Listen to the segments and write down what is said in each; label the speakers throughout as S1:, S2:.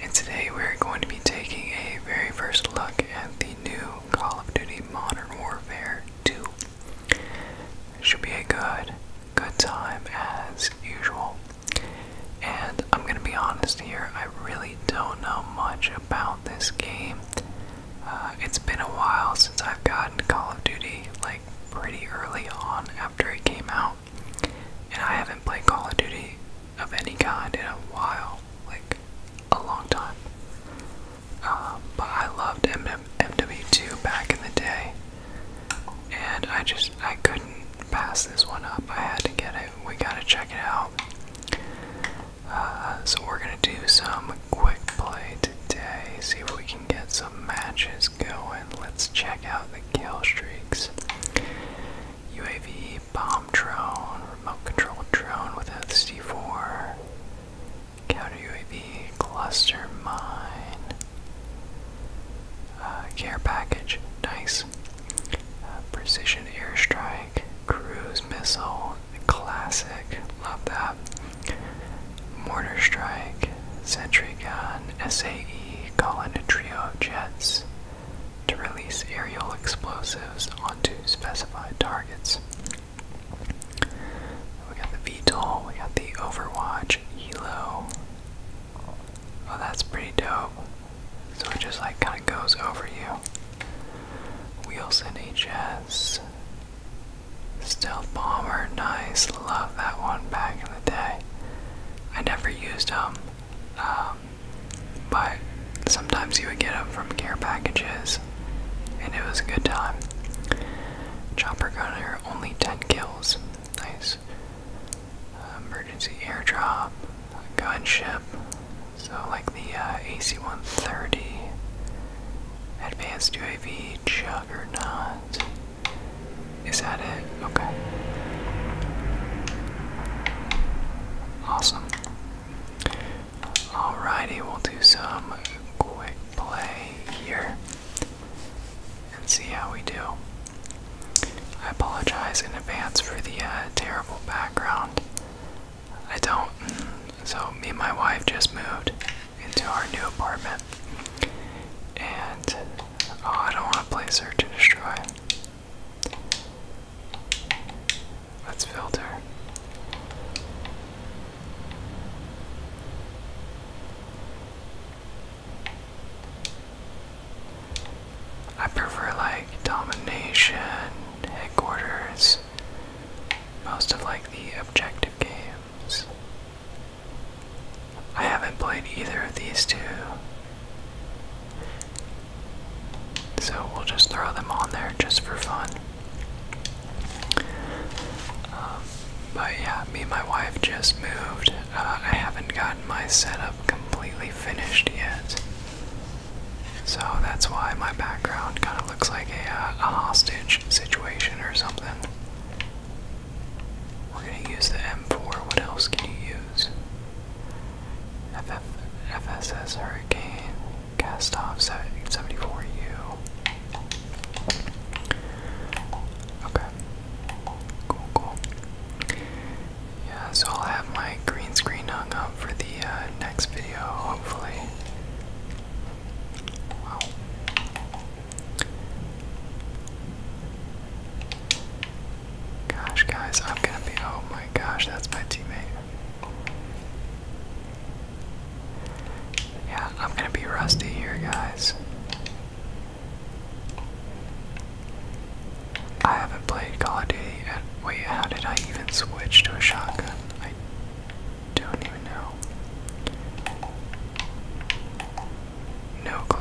S1: And today we're going to be taking a very first look at the new Call of Duty Modern Warfare 2. It should be a good, good time as usual. And I'm going to be honest here, I really don't know much about this game. Uh, it's been a while since I've gotten Call of Duty, like pretty early on after it came out. And I haven't played Call of Duty of any kind in a while, like a long time. Um, but I loved MW2 back in the day, and I just I couldn't pass this one up. I had to get it. We gotta check it out. Uh, so we're gonna do some quick play today. See if we can get some matches going. Let's check out kill streaks. UAV, bomb drone, remote controlled drone with C4, counter UAV, cluster mine, uh, care package, nice, uh, precision airstrike, cruise missile, classic, love that, mortar strike, Gun SAE call a trio of jets to release aerial explosives onto specified targets. We got the VTOL, we got the Overwatch, Hilo. Oh, that's pretty dope. So it just like kind of goes over you. Wheels HS. Stealth Bomber, nice. Love that one back in the day. I never used them, um, but sometimes you would get them from gear packages, and it was a good time. Chopper gunner, only 10 kills. Nice. emergency airdrop, gunship. So like the uh, AC-130, advanced UAV, juggernaut. Is that it? Okay. Awesome. Alrighty, we'll do some quick play here and see how we do. I apologize in advance for the uh, terrible background. I don't. So, me and my wife just moved into our new apartment, and Oh, I don't want to play Search and Destroy. Let's filter. I prefer like domination, headquarters, most of like the objective games. I haven't played either of these two. So we'll just throw them on there just for fun. Um, but yeah, me and my wife just moved. Uh, I haven't gotten my setup completely finished yet. So that's why my background kind of looks like uh, a hostage situation or something. We're going to use the M4. What else can you use? FF, Hurricane, Castoff off 74U. Okay. Cool, cool. Yeah, so I'll have my green screen hung up for the uh, next video, hopefully. Wow. Gosh, guys, I'm gonna be. Oh my gosh, that's my teammate. Yeah, I'm gonna be rusty here, guys. I haven't played Call of Duty yet. Wait, how did I even switch to a shotgun? I don't even know. No clue.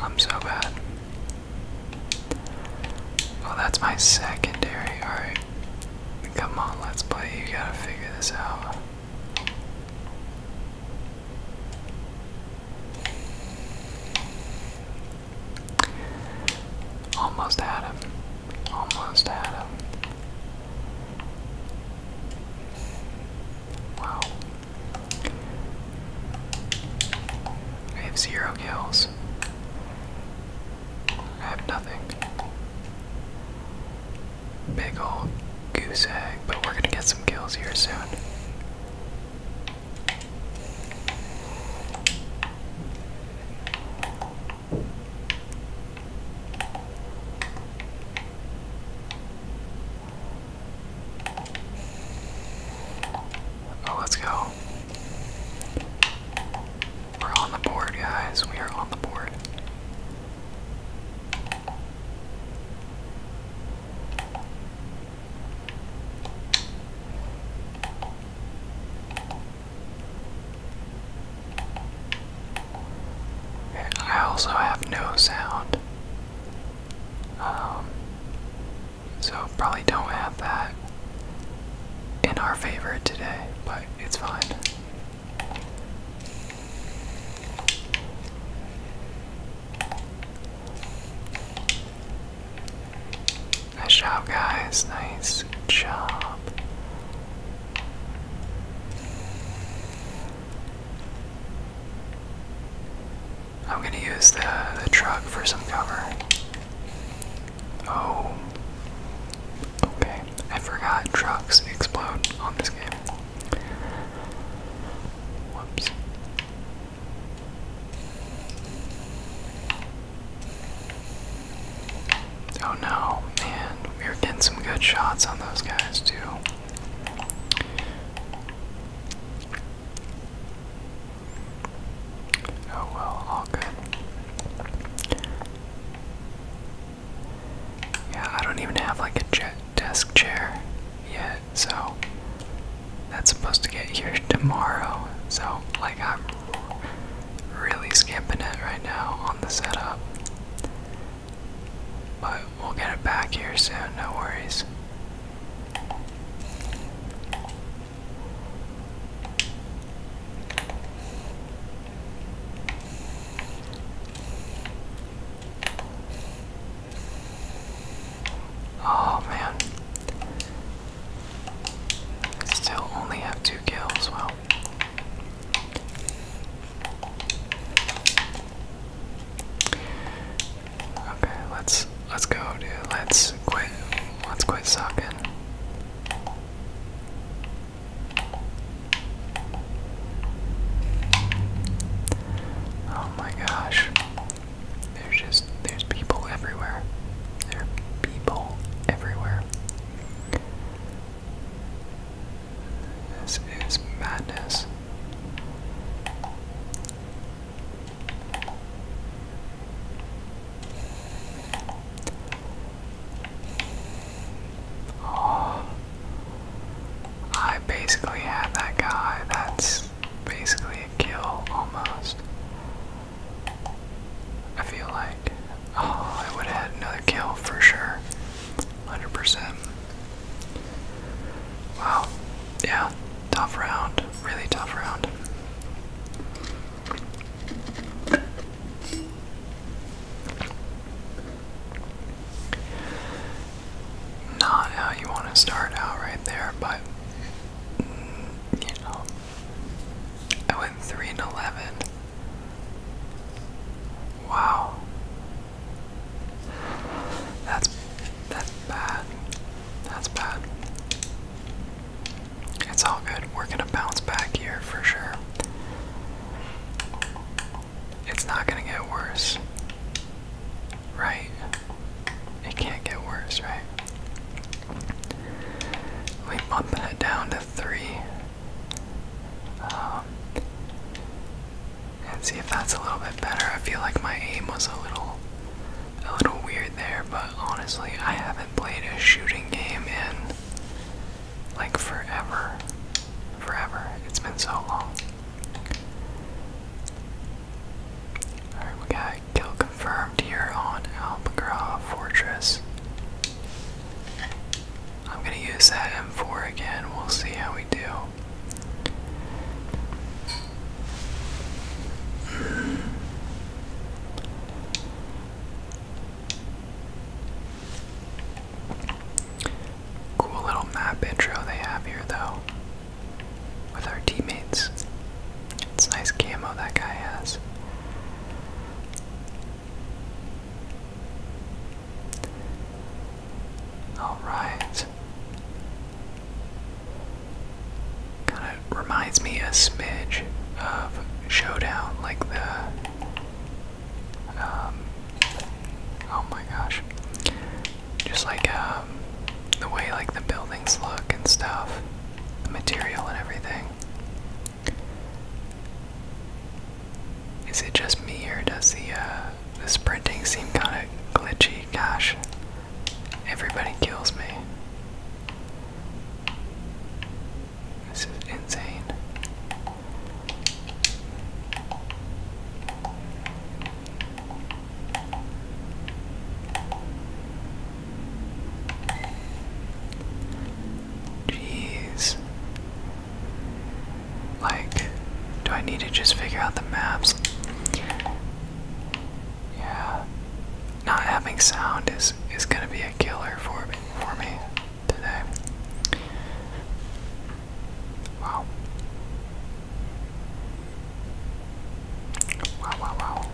S1: I'm so bad. Well, that's my secondary. Alright. Come on, let's play. You gotta figure this out. Almost had him. Almost had Wow. I have zero kills. I have nothing. Big old goose egg, but we're gonna get some kills here soon. Oh, let's go. We're on the board, guys. We are on the board. I also have no sound. Um, so probably don't have that in our favor today, but it's fine. Nice job, guys. Nice job. I'm gonna use the, truck for some cover. Oh. Okay. I forgot trucks explode on this game. Whoops. Oh no, man. We were getting some good shots on those guys, too. Oh well, all good. Yeah, I don't even have like a desk chair yet, so that's supposed to get here tomorrow. So, like, I'm really skipping it right now on the setup. But we'll get it back here soon, no worries. Oh man. Still only have two kills, well. Okay, let's let's go, dude. Let's quit. Let's quit sucking. Oh my gosh. There's just there's people everywhere. There are people everywhere. This is madness. Oh, I basically had that guy. That's basically a kill almost. I feel like oh, I would have had another kill for sure. 100%. Wow. Yeah, tough round. Really tough round. Not how you want to start out right there, but mm, you know, I went three and eleven. Wow. That's that's bad. That's bad. It's all good. We're gonna bounce back here for sure. It's not gonna get worse. Right? It can't get worse, right? We bumping it down to three. Um, and see if that's a little bit better. I feel like my aim was a little, a little weird there, but honestly, I haven't played a shooting game in like forever. Forever. It's been so long. Alright, we got kill confirmed here on Alpagra Fortress. I'm gonna use that M4 again. We'll see how we do. Cool little map intro they have here, though, with our teammates. It's nice camo that guy has. All right. Kind of reminds me a smidge of Showdown, like the. Um, oh my gosh. Just like um, the way like the buildings look and stuff, the material and everything. Is it just me or does the uh, the sprinting seem kind of glitchy? Gosh, everybody kills me. This is insane. Jeez. Like, do I need to just figure out the maps? Yeah. Not having sound is is gonna be a killer for me for me today. Wow. Wow wow wow.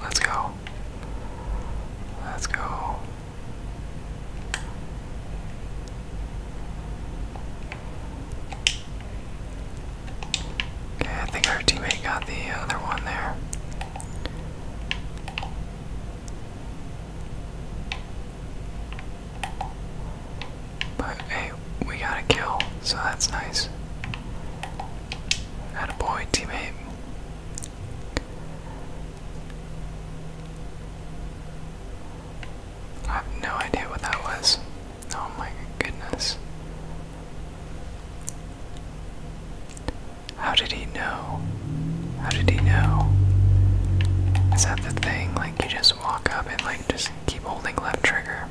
S1: Let's go. Let's go. Okay, I think our teammate got the other one there. But hey, we got a kill, so that's nice. Had a Attaboy, teammate. I have no idea what that was. Oh my goodness. How did he know? How did he know? Is that the thing? Like, you just walk up and, like, just keep holding left trigger.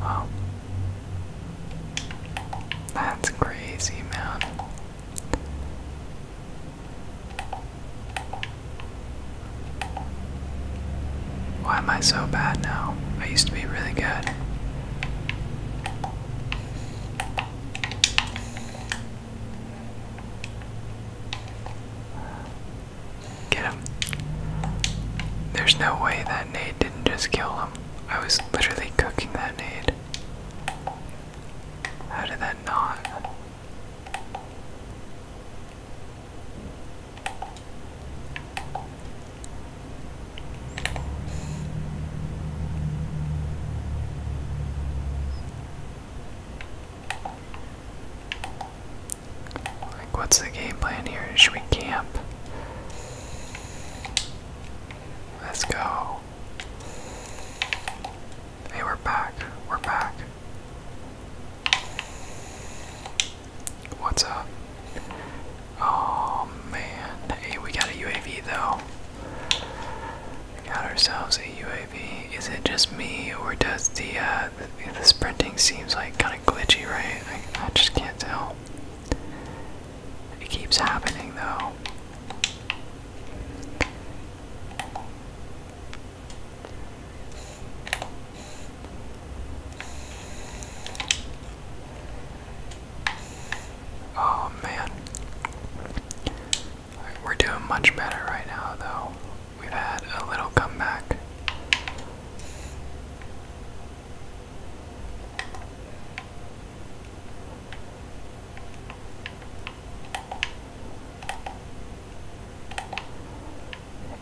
S1: Wow. That's crazy, man. Why am I so bad now? I used to be really good. Get him. There's no way that nade didn't just kill him. I was literally cooking that nade. How did that not? what's the game plan here? Should we camp? Let's go. Hey, we're back. We're back. What's up? Oh man. Hey, we got a UAV though got ourselves a UAV. Is it just me, or does the uh, the, sprinting seems like kind of glitchy, right? I just can't tell. It keeps happening though. Oh man. We're doing much better right now, though. We've had a little comeback.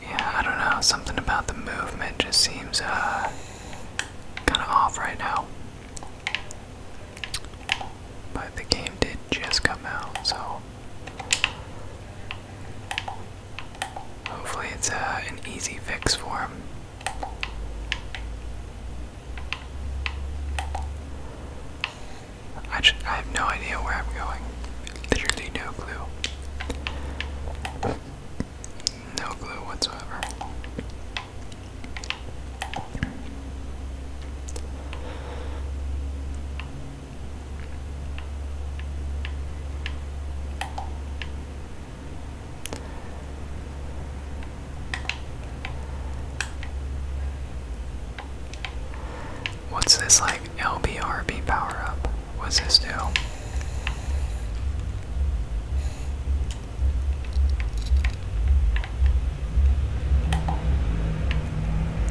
S1: Yeah, I don't know. Something about the movement just seems uh, kind of off right now. But the game did just come out, so hopefully it's uh, an easy fix for him. I, just, I have no idea where I'm going. Literally no clue. No clue whatsoever. What's this like LBRB power up? What's this do?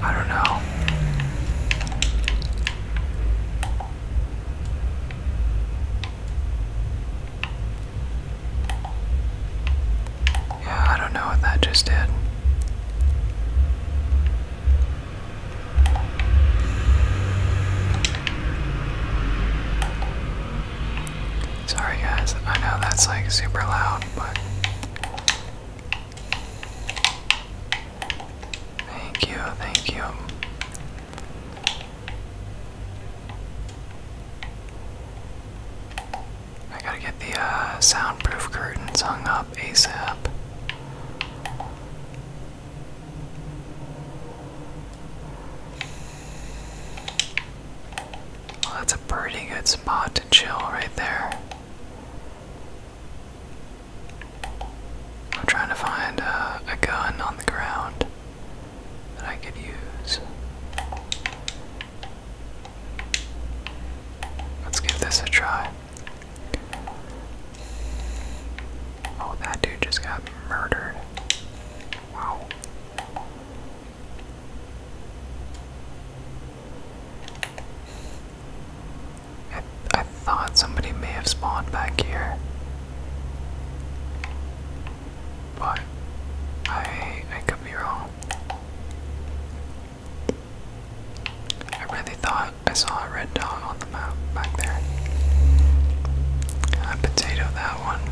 S1: I don't know. Yeah, I don't know what that just did. Sorry guys, I know that's like super loud, but thank you, thank you. I gotta get the uh, soundproof curtains hung up ASAP. Oh, that's a pretty good spot to chill right there. I'm trying to find uh, a gun on the ground that I could use. Let's give this a try. Oh, that dude just got murdered. I, thought somebody may have spawned back here. But I I could be wrong. I really thought I saw a red dog on the map back there. I potato that one.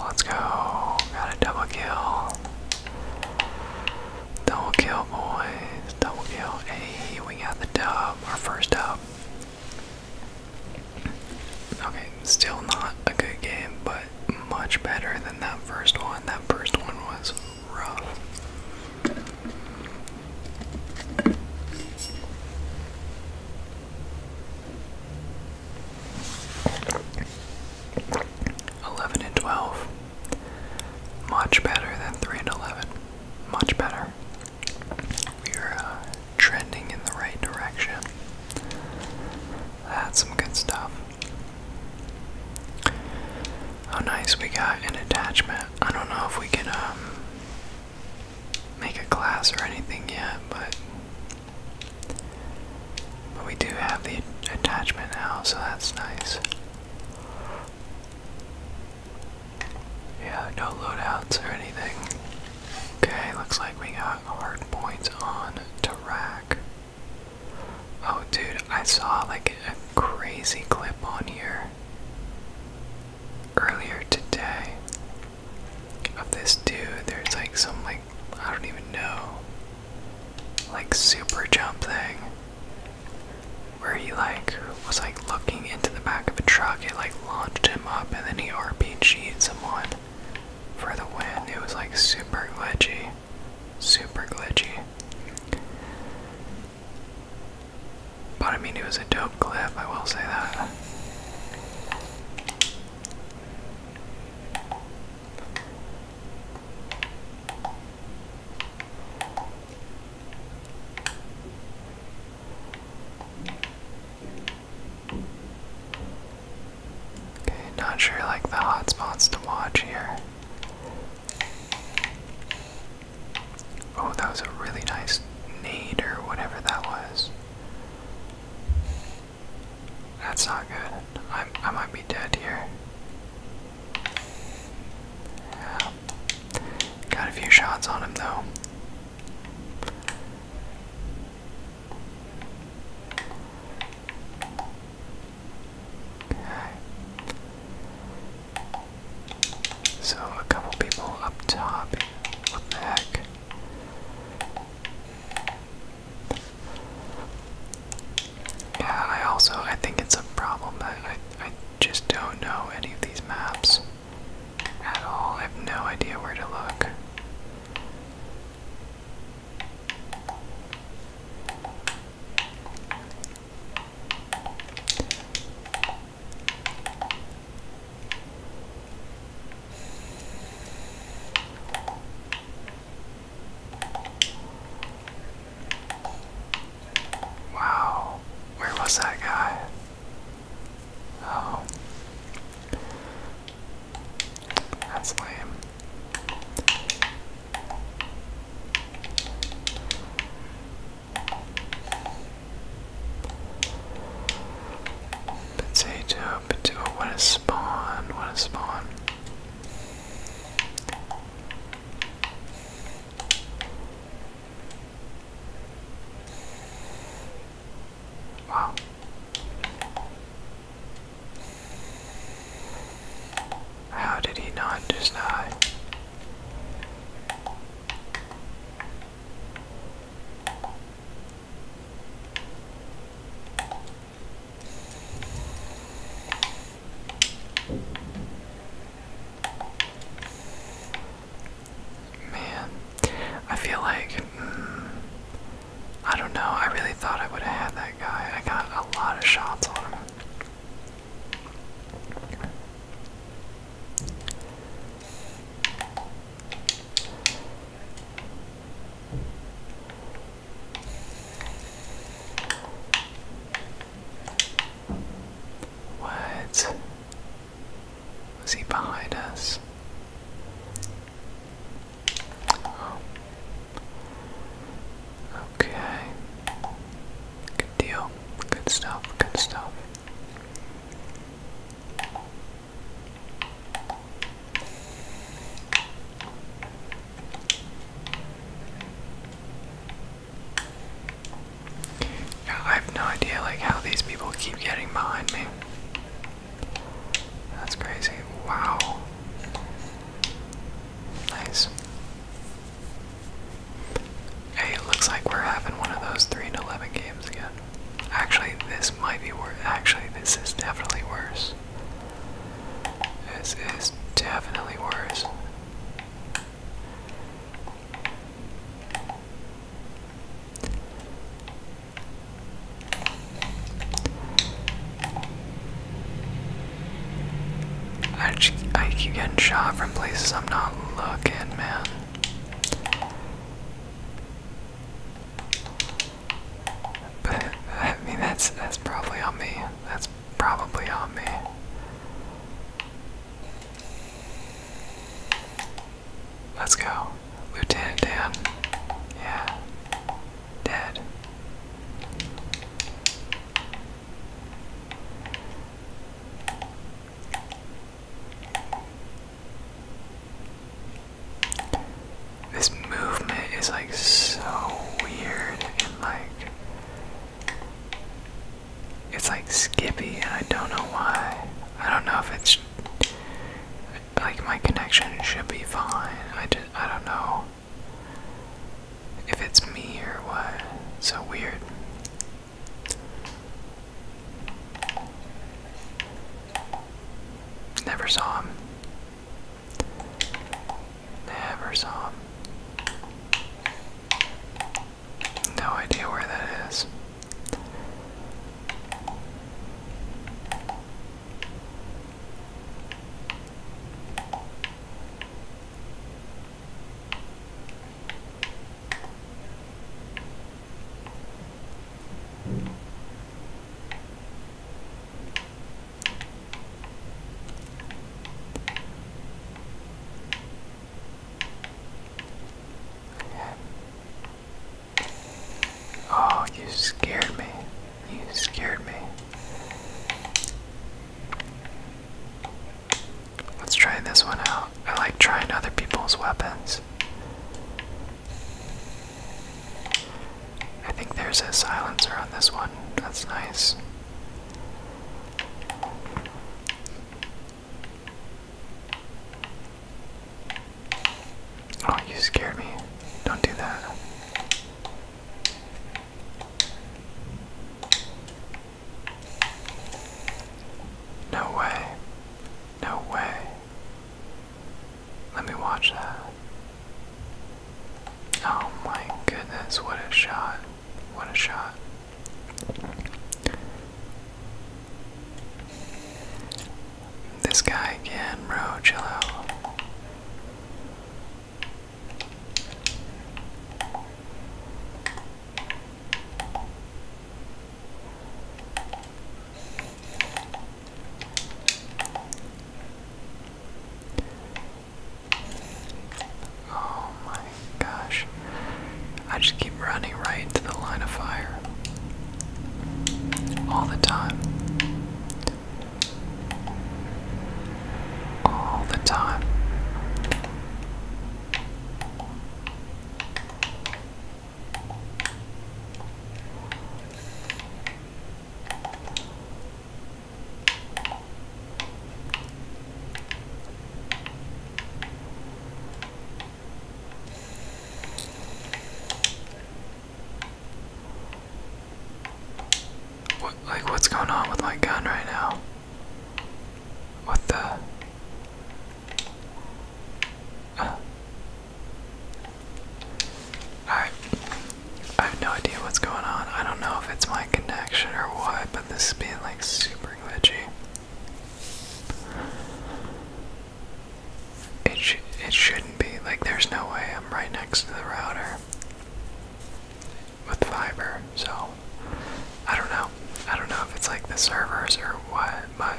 S1: Let's go. Got a double kill. Double kill, boys. Double kill. Hey, we got the dub. Our first dub. Okay, still not a good game, but much better than that first one. That first one was rough. Eleven and twelve. Much better than three and eleven. Much better. We're uh, trending in the right direction. That's some good stuff. Oh, nice, we got an attachment. I don't know if we can um, make a class or anything yet, but, but we do have the attachment now, so that's nice. Yeah, no loadouts or anything. Okay, looks like we got hard points on to rack. Oh, dude, I saw like a crazy clip on here earlier today of this dude. There's like some, like, I don't even know, like super jump thing where he like was like looking into the back of a truck. It like launched him up and then he RPG'd someone for the win. It was like super glitchy. Super glitchy. But I mean, it was a dope clip, I will say that. Okay, not sure like the hot spots to watch here. Oh, that was a really nice nade or whatever that was. That's not good. I I might be dead here. Yeah. Got a few shots on him though. So a couple people up top. What the heck? Yeah, I also I think it's a problem that I I just don't know any of these maps at all. I have no idea where to look. Wow, where was that guy? Oh. That's lame. Potato, potato, what a spawn, what a spawn. Wow. How did he not just Man, I feel like hmm, I don't know. I really thought I would have had that guy. I got a lot of shots on him. What? Was he behind us? Oh. Okay. Good deal. Good stuff. Good stuff. I have no idea like how these people keep getting behind me. That's crazy. Wow. Nice. Hey, it looks like we're having one of those 3 and 11 games again. Actually, this might be worse. Actually, this is definitely worse. This is definitely worse. I, keep getting shot from places I'm not looking, man. I mean, that's that's probably on me. That's probably on me. Let's go. Lieutenant Dan. Yeah. Dead. This movement is like so weird and like it's like Skippy, and I don't know why. I don't know if it's like my connection should be fine. I just, I don't know if it's me or what. so weird. Never saw him. Never saw him. No idea where that is. Oh, you scared me. You scared me. Let's try this one out. I like trying other people's weapons. I think there's a silencer on this one. That's nice. Oh, you scared me. Don't do that. No way. No way. Let me watch that. Oh my goodness, what a shot. What a shot. This guy again, bro, chill out. Oh my gosh. I just keep running right into the line of fire. All the time. All the time like, what's going on with my gun right now? What the? Uh. Alright. I have no idea what's going on. I don't know if it's my connection or what, but this is being like super it it shouldn't be like there's no way I'm right next to the router with fiber, so I don't know. I don't know if it's like the servers or what, but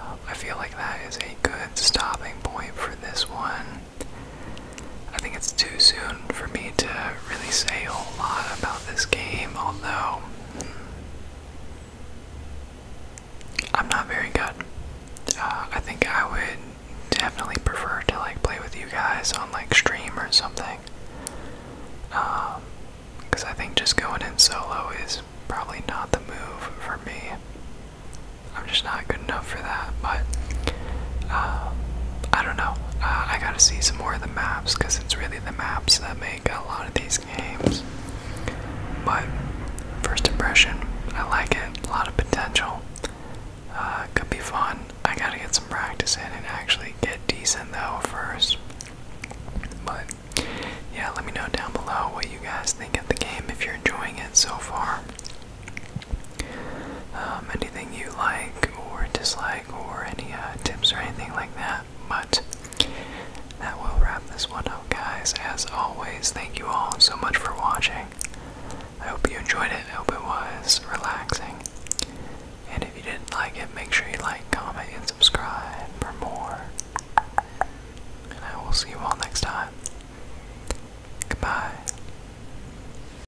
S1: um, I feel like that is a good stopping point for this one. I think it's too soon for me to really say a whole lot about this game, although I'm not very good. Uh, I think I would definitely prefer to like play with you guys on like stream or something. because um, I think just going in solo is probably not the move for me. I'm just not good enough for that, but uh, I don't know. Uh, I gotta see some more of the maps because it's really the maps that make a lot of these games. But first impression, I like it. A lot of potential. Uh, could be fun. I gotta get some practice in and actually get decent though first. But yeah, let me know down below what you guys think of the game if you're enjoying it so far. Um, anything you like or dislike, or any uh, tips or anything like that. But that will wrap this one up, guys. As always, thank you all so much for watching. I hope you enjoyed it. I hope it was relaxing. And if you didn't like it, make sure you like, comment, and subscribe for more. And I will see you all next time. Goodbye.